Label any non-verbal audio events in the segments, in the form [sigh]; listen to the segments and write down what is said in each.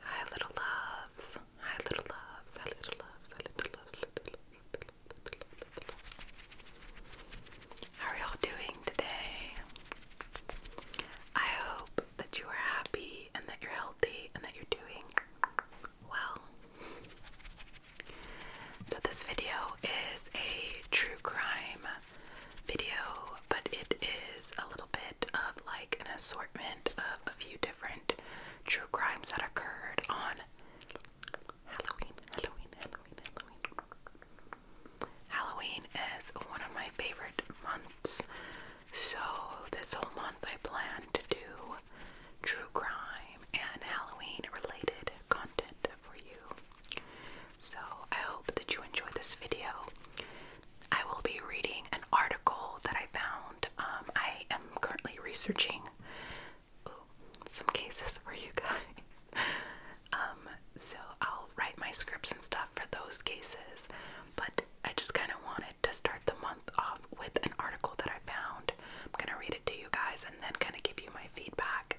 Hi, little loves. Hi, little loves. Hi, little loves. Hi, little loves. How are y'all doing today? I hope that you are happy and that you're healthy and that you're doing well. So, this video is a true crime video but it is a little bit of like an assortment of a few different true crimes that occurred on Halloween. Halloween, Halloween, Halloween. Halloween is one of my favorite months. So, this whole month I plan to do true crime and Halloween related content for you. So, I hope that you enjoy this video. I will be reading an article that I found. Um, I am currently researching some cases for you guys. [laughs] Um, so I'll write my scripts and stuff for those cases, but I just kind of wanted to start the month off with an article that I found. I'm gonna read it to you guys and then kind of give you my feedback.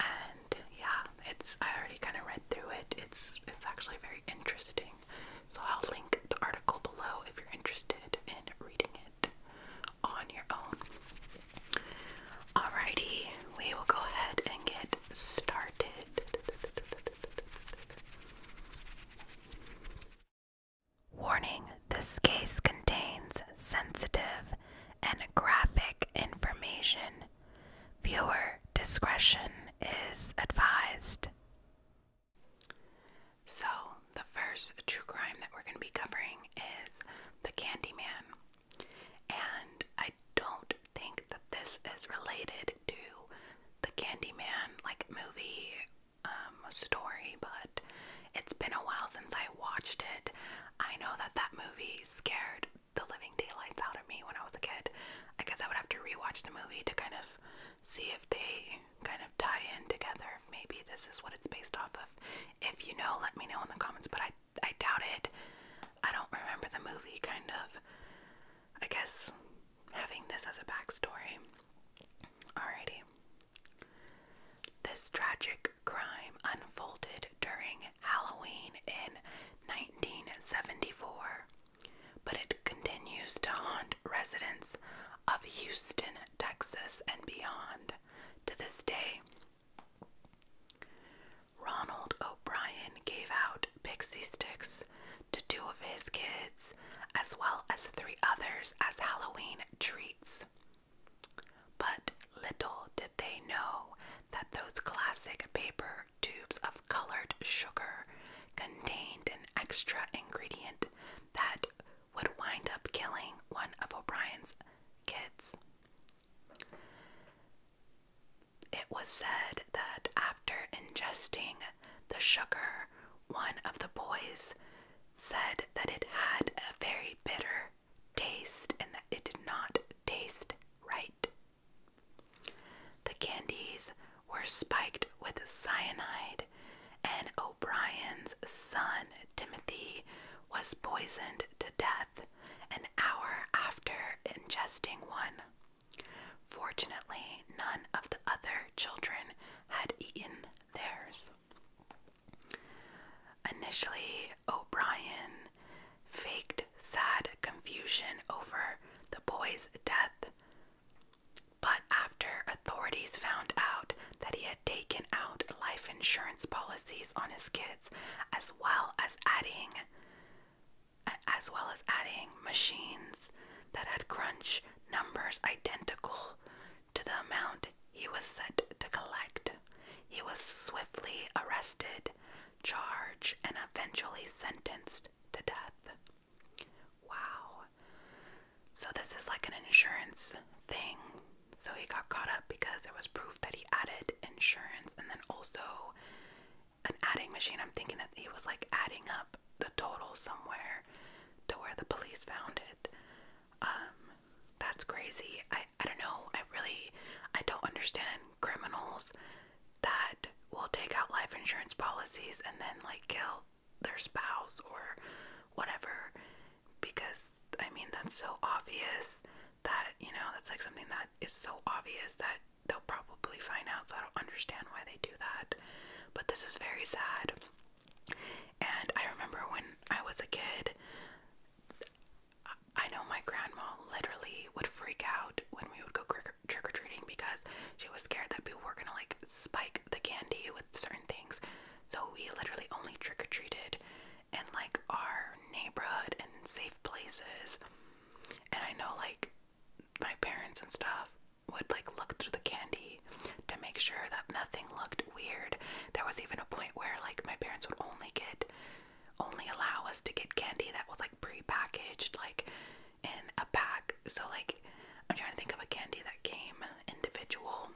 And yeah, it's I already kind of read through it. It's it's actually very interesting. So I'll link the article below if you're interested in reading it on your own. Alrighty, we will go ahead and get started. Warning this case contains sensitive and graphic information Viewer discretion is advised. So, the first true crime that we're going to be covering is The Candyman. And I don't think that this is related to the Candyman, like, movie um, story, but it's been a while since I watched it. I know that that movie scared the living daylights out of me when I was a kid. I guess I would have to rewatch the movie to kind of see if they kind of tie in together. maybe this is what it's based off of. If you know, let me know in the comments, but I I doubt it. I don't remember the movie kind of I guess having this as a backstory. Alrighty. This tragic crime unfolded during Halloween in 1974 but it continues to haunt residents of Houston, Texas, and beyond to this day. Ronald O'Brien gave out pixie sticks to two of his kids, as well as three others, as Halloween treats. But little did they know that those classic paper tubes of colored sugar contained an extra ingredient that would wind up killing one of O'Brien's kids. It was said that after ingesting the sugar, one of the boys said that it had a very bitter taste and that it did not taste right. The candies were spiked with cyanide, and O'Brien's son, Timothy, was poisoned to death an hour after ingesting one. Fortunately, none of the other children had eaten theirs. Initially, O'Brien faked sad confusion over the boy's death. But after authorities found out that he had taken out life insurance policies on his kids as well as adding as well as adding machines that had crunch numbers identical to the amount he was set to collect. He was swiftly arrested, charged, and eventually sentenced to death. Wow. So, this is like an insurance thing. So, he got caught up because there was proof that he added insurance and then also an adding machine. I'm thinking that he was like adding up the total somewhere to where the police found it. Um, that's crazy. I, I don't know. I really I don't understand criminals that will take out life insurance policies and then like kill their spouse or whatever because I mean that's so obvious that you know that's like something that is so obvious that they'll probably find out so I don't understand why they do that but this is very sad and I remember when I was a kid I know my grandma literally would freak out when we would go crick trick or treating because she was scared that people were gonna like spike the candy with certain things. So we literally only trick or treated in like our neighborhood and safe places. And I know like my parents and stuff would like look through the candy to make sure that nothing looked weird. There was even a point where like my parents would only get only allow us to get candy that was like pre-packaged, like in a pack. So like I'm trying to think of a candy that came individual.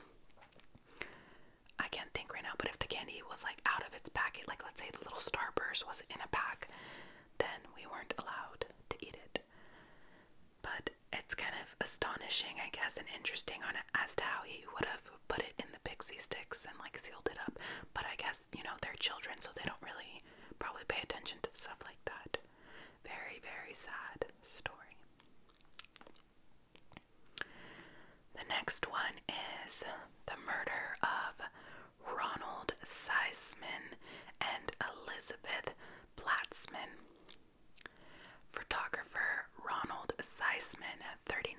I can't think right now, but if the candy was like out of its packet, like let's say the little starburst was in a pack, then we weren't allowed to eat it. But it's kind of astonishing, I guess, and interesting as to how he would have put it in the pixie sticks and like sealed it up. But I guess, you know, they're children, so they don't really probably pay attention to stuff like that. Very, very sad story. The next one is the murder of Ronald Seisman and Elizabeth Platzman. Photographer Ronald Seisman, 39,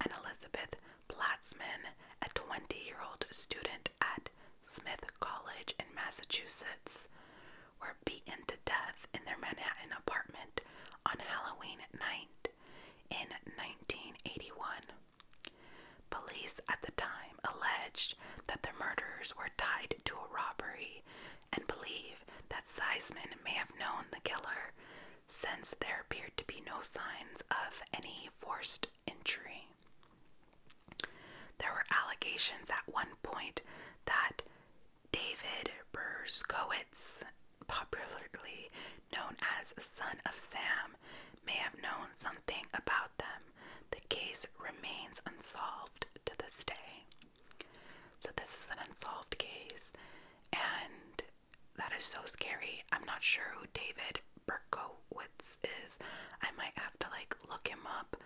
and Elizabeth Platzman, a 20 year old student at Smith College in Massachusetts, were beaten to death in their Manhattan apartment on Halloween night in 1981. Police at the time alleged that the murders were tied to a robbery and believe that Seisman may have known the killer since there appeared to be no signs of any forced entry. There were allegations at one point that David Berskowitz, popularly known as Son of Sam, may have known something about them. The case remains unsolved to this day. So, this is an unsolved case, and that is so scary. I'm not sure who David Berkowitz is. I might have to like look him up.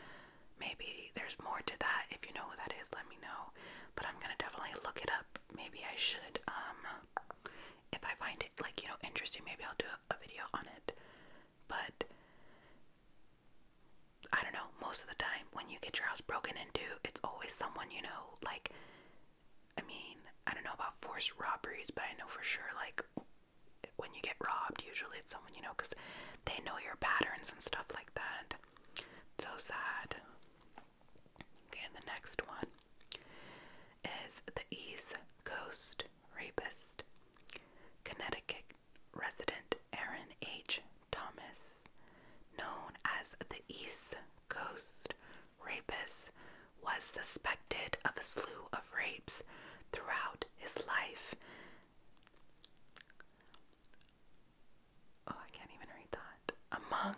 Maybe there's more to that. If you know who that is, let me know. But I'm gonna definitely look it up. Maybe I should, um, if I find it like, you know, interesting, maybe I'll do a video on it. But I don't know, most of the time when you get your house broken into, it's always someone you know, like I mean, I don't know about forced robberies, but I know for sure, like, when you get robbed, usually it's someone you know because they know your patterns and stuff like that. so sad. Okay, and the next one is the East Coast rapist, Connecticut resident Aaron H. Thomas, known as the East Coast rapist, was suspected of a slew of rapes throughout his life. Oh, I can't even read that. Among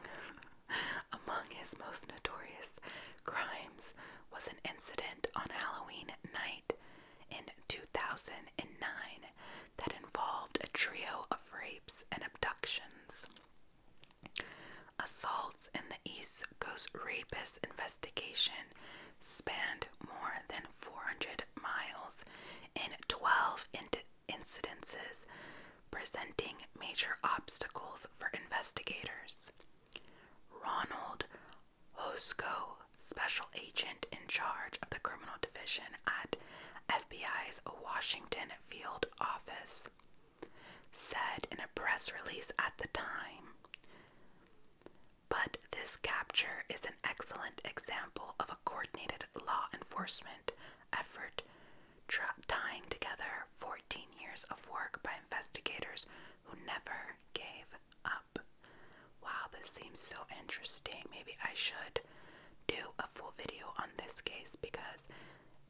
[laughs] among his most notorious crimes was an incident on Halloween night in 2009 that involved a trio of rapes and abductions. Assaults in the East Coast rapist investigation spanned more than 400 miles in 12 incidents, presenting major obstacles for investigators. Ronald Hosko, special agent in charge of the criminal division at FBI's Washington field office, said in a press release at the time. But this capture is an excellent example of a coordinated law enforcement effort tying together 14 years of work by investigators who never gave up. Wow, this seems so interesting. Maybe I should do a full video on this case because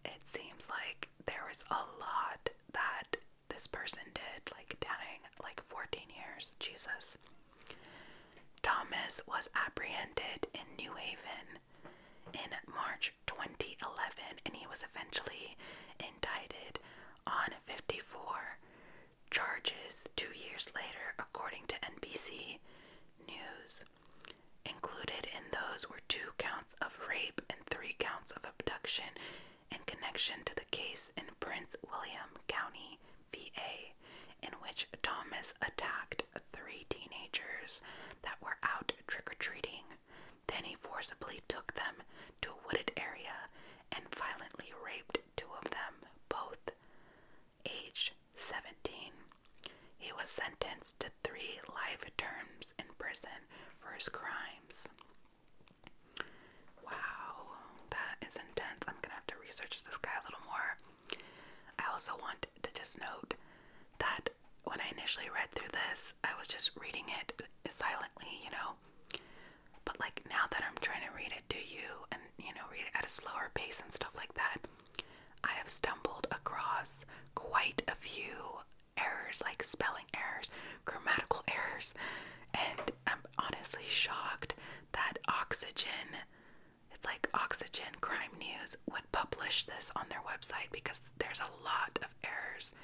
it seems like there was a lot that this person did, like dying, like 14 years, Jesus. Thomas was apprehended in New Haven in March 2011 and he was eventually indicted on 54 charges two years later, according to NBC News. Included in those were two counts of rape and three counts of abduction in connection to the case in Prince William County, VA, in which Thomas attacked three teenagers that were out trick or treating. Then he forcibly took them to a wooded area and violently raped two of them, both aged 17. He was sentenced to three life terms in prison for his crimes. Wow, that is intense. I'm gonna have to research this guy a little more. I also want to just note that when I initially read through this, I was just reading it silently, you know. But like now that I'm trying to read it to you and you know, read it at a slower pace and stuff like that, I have stumbled across quite a few errors, like spelling errors, grammatical errors, and I'm honestly shocked that Oxygen, it's like Oxygen Crime News, would publish this on their website because there's a lot of errors.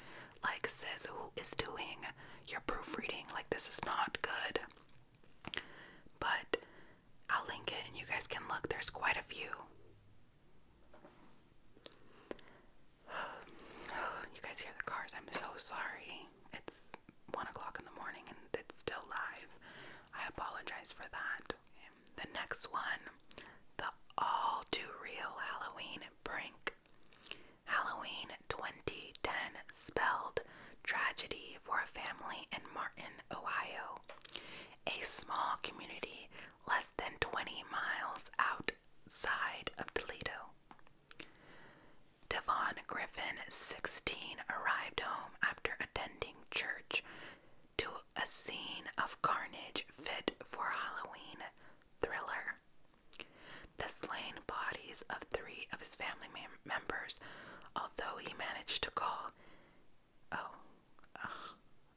Like, says who is doing your proofreading? Like, this is not good. But I'll link it and you guys can look. There's quite a few. [sighs] you guys hear the cars. I'm so sorry. It's one o'clock in the morning and it's still live. I apologize for that. The next one the all too real Halloween prank. Halloween 2010 spelled tragedy for a family in Martin, Ohio. A small community less than 20 miles outside of Toledo. Devon Griffin, 16, arrived home after attending church to a scene of carnage fit for a Halloween thriller. The slain bodies of three of his family members, although he managed to call, oh,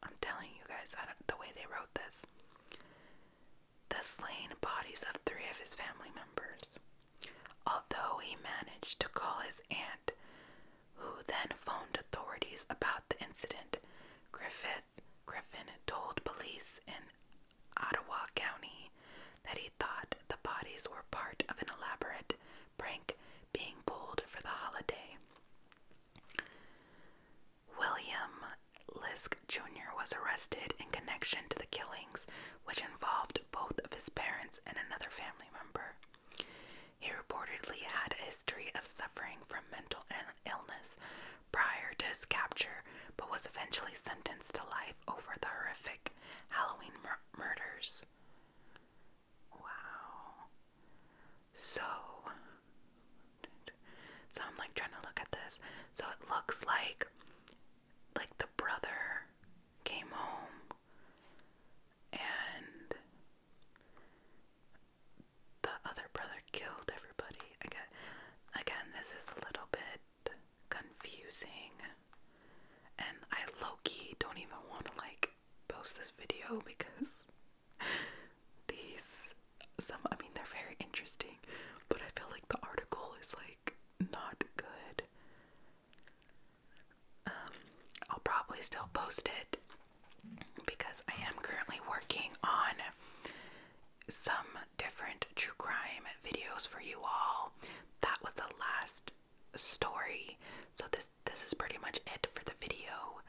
I'm telling you guys, I the way they wrote this. The slain bodies of three of his family members. Although he managed to call his aunt, who then phoned authorities about the incident, Griffith Griffin told police in Ottawa County that he thought the bodies were part of an elaborate prank being pulled for the holiday. William Lisk Jr. was arrested in connection to the killings, which involved both of his parents and another family member. He reportedly had a history of suffering from mental illness prior to his capture, but was eventually sentenced to life over the horrific Halloween murders. Wow. So, so I'm like trying to look at this. So it looks like, like the brother came home, and the other brother killed everybody. Again, again, this is a little bit confusing, and I low key don't even want to like post this video because [laughs] these some I mean they're very interesting, but I feel like the article is like not good. Um, I'll probably still post it because I am currently working on some different true crime videos for you all. That was the last story. So this this is pretty much it for the video.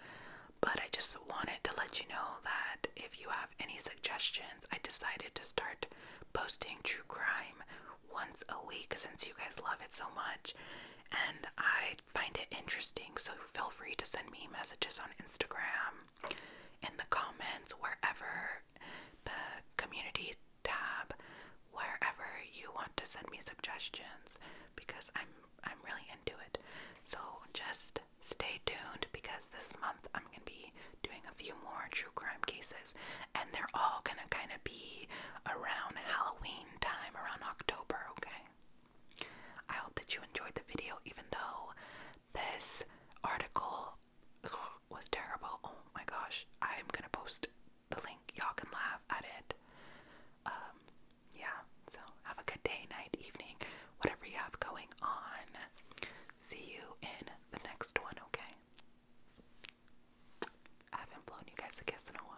But I just wanted to let you know that if you have any suggestions, I decided to start posting true crime once a week since you guys love it so much and I find it interesting. So feel free to send me messages on Instagram, in the comments, wherever the community tab, wherever you want to send me suggestions because I'm I'm really into it. So just stay tuned because this month I'm gonna be doing a few more true crime cases, and they're all gonna kind of be around Halloween time, around October. Okay. I hope that you enjoyed the video, even though this article was terrible. Oh my gosh! I'm gonna post the link. Y'all can laugh at it. Um, yeah, so have a good day, night, evening, whatever you have going on. See you in the next one, okay? I haven't blown you guys a kiss in a while.